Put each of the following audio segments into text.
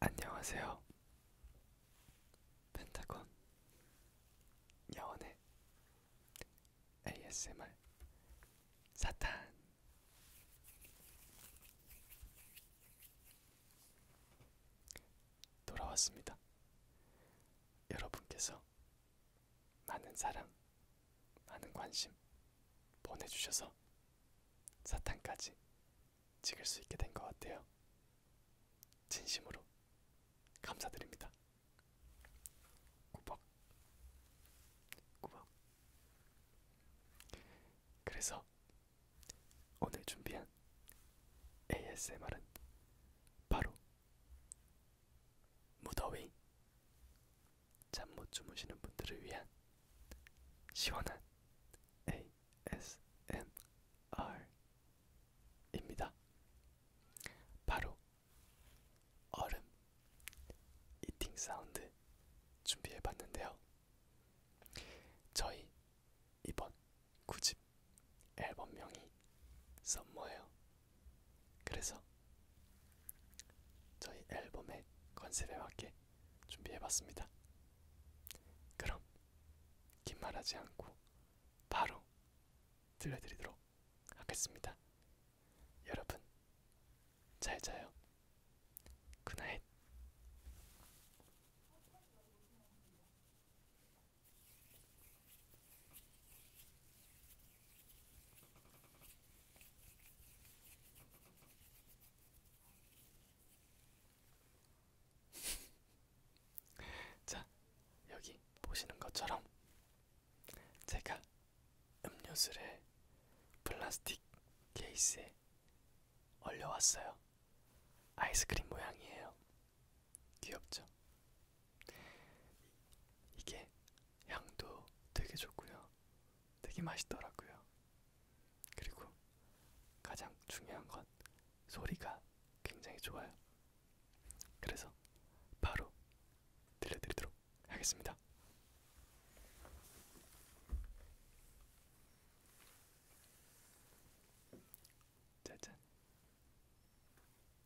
안녕하세요. 펜타곤 여원의 ASMR 사탄 돌아왔습니다. 여러분께서 많은 사랑, 많은 관심 보내주셔서 사탕까지 찍을 수 있게 된 것 같아요. 진심으로 감사드립니다. 꾸벅, 꾸벅. 그래서 오늘 준비한 ASMR은 바로 무더위 잠못 주무시는 분들을 위한 시원한 ASMR입니다. 바로 얼음 이팅 사운드 준비해 봤는데요. 저희 이번 9집 앨범명이 썸머예요. 그래서 저희 앨범의 컨셉에 맞게 준비해봤습니다. 그럼 긴 말하지 않고 바로 들려드리도록 하겠습니다. 여러분 잘 자요. 굿나잇. 자, 여기 보시는 것처럼 제가 음료수를 플라스틱 케이스에 얼려왔어요. 아이스크림 모양이에요. 귀엽죠? 이게 향도 되게 좋고요. 되게 맛있더라고요. 그리고 가장 중요한 건 소리가 굉장히 좋아요. 그래서 바로 들려드리도록 하겠습니다. 짜잔.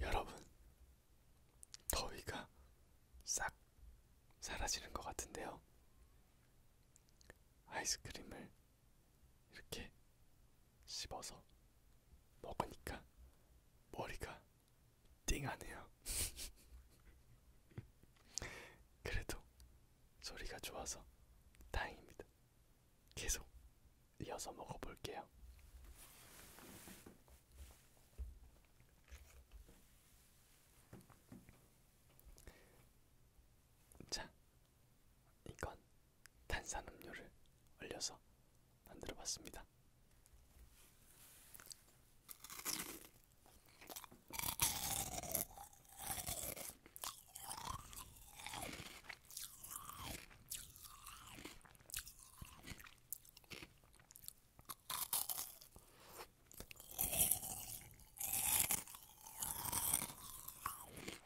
여러분, 더위가 싹 사라지는 것 같은데요. 아이스크림을 이렇게 씹어서 먹으니까 머리가 띵하네요. 그래도 소리가 좋아서 다행입니다. 계속 이어서 먹어볼게요. 자, 이건 탄산음료를 올려서 만들어 봤습니다.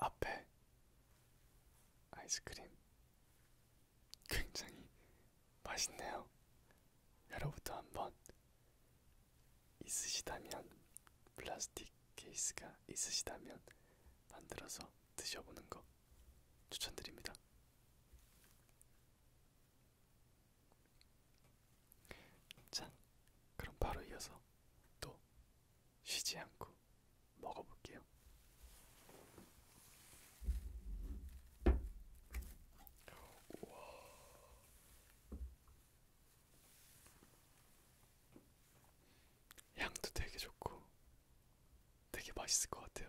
앞에 아이스크림 굉장히 맛있네요. 여러분도 한번 있으시다면 플라스틱 케이스가 있으시다면 만들어서 드셔보는 거 추천드립니다. 자, 그럼 바로 이어서 또 쉬지 않고 먹어볼게요. 우와. 향도 되게 좋고 되게 맛있을 것 같아요.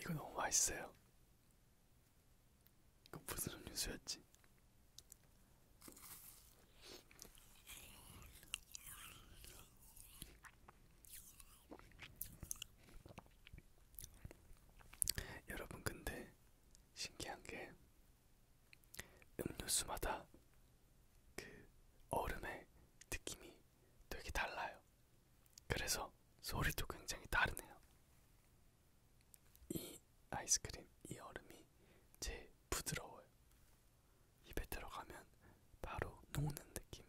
이거 너무 맛있어요. 이거 무슨 음료수였지? 여러분 근데 신기한 게 음료수마다 그 얼음의 느낌이 되게 달라요. 그래서 소리도 굉장히 다르네요. 이 아이스크림, 이 얼음이 제일 부드러워요. 입에 들어가면 바로 녹는 느낌이에요.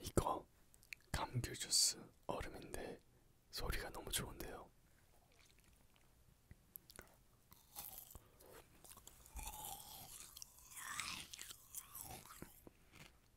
이거 감귤 주스 얼음인데 소리가 너무 좋은데요.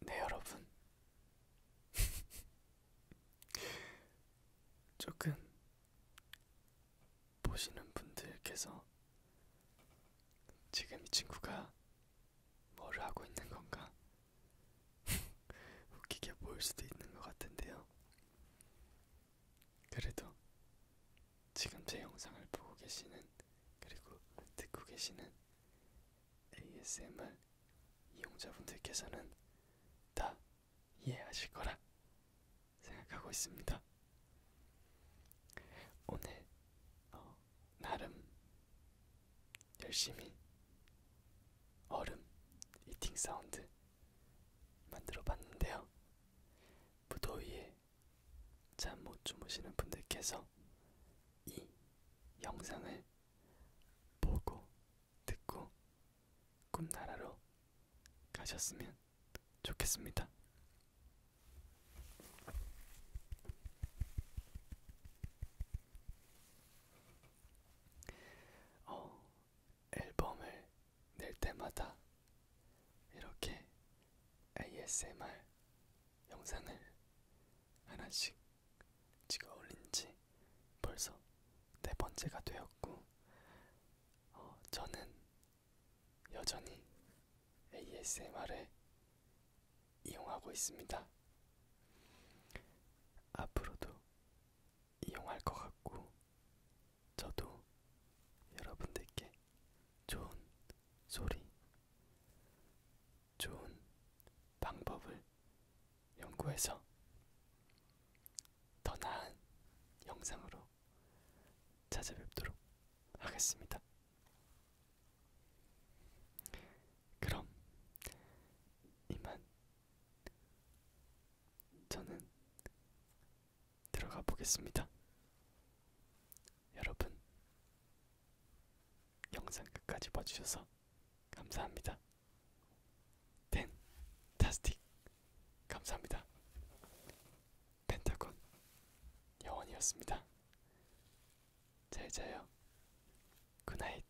네, 여러분. 조금 보시는 분들께서 지금 이 친구가 뭐를 하고 있는 건가? 웃기게 보일 수도 있는 것 같은데요. 그래도 지금 제 영상을 보고 계시는 그리고 듣고 계시는 ASMR 이용자분들께서는 다 이해하실 거라 생각하고 있습니다. 오늘 어, 나름 열심히 얼음 이팅 사운드 만들어 봤는데요. 무더위에 잠못 주무시는 분들께서 이 영상을 보고 듣고 꿈나라로 가셨으면 좋겠습니다. 어, 앨범을 낼 때마다 이렇게 ASMR 영상을 하나씩 찍어 올린 지 벌써 네 번째가 되었고, 어, 저는 여전히 ASMR을 이용하고 있습니다. 앞으로도 이용할 것 같고, 저도 여러분들께 좋은 소리, 좋은 방법을 연구해서 더 나은 영상으로 찾아뵙도록 하겠습니다. 그럼 이만 저는 들어가 보겠습니다. 여러분, 영상 끝까지 봐주셔서 감사합니다. 펜타스틱 감사합니다. 펜타곤 여원이었습니다. 잘 자요. 굿나잇.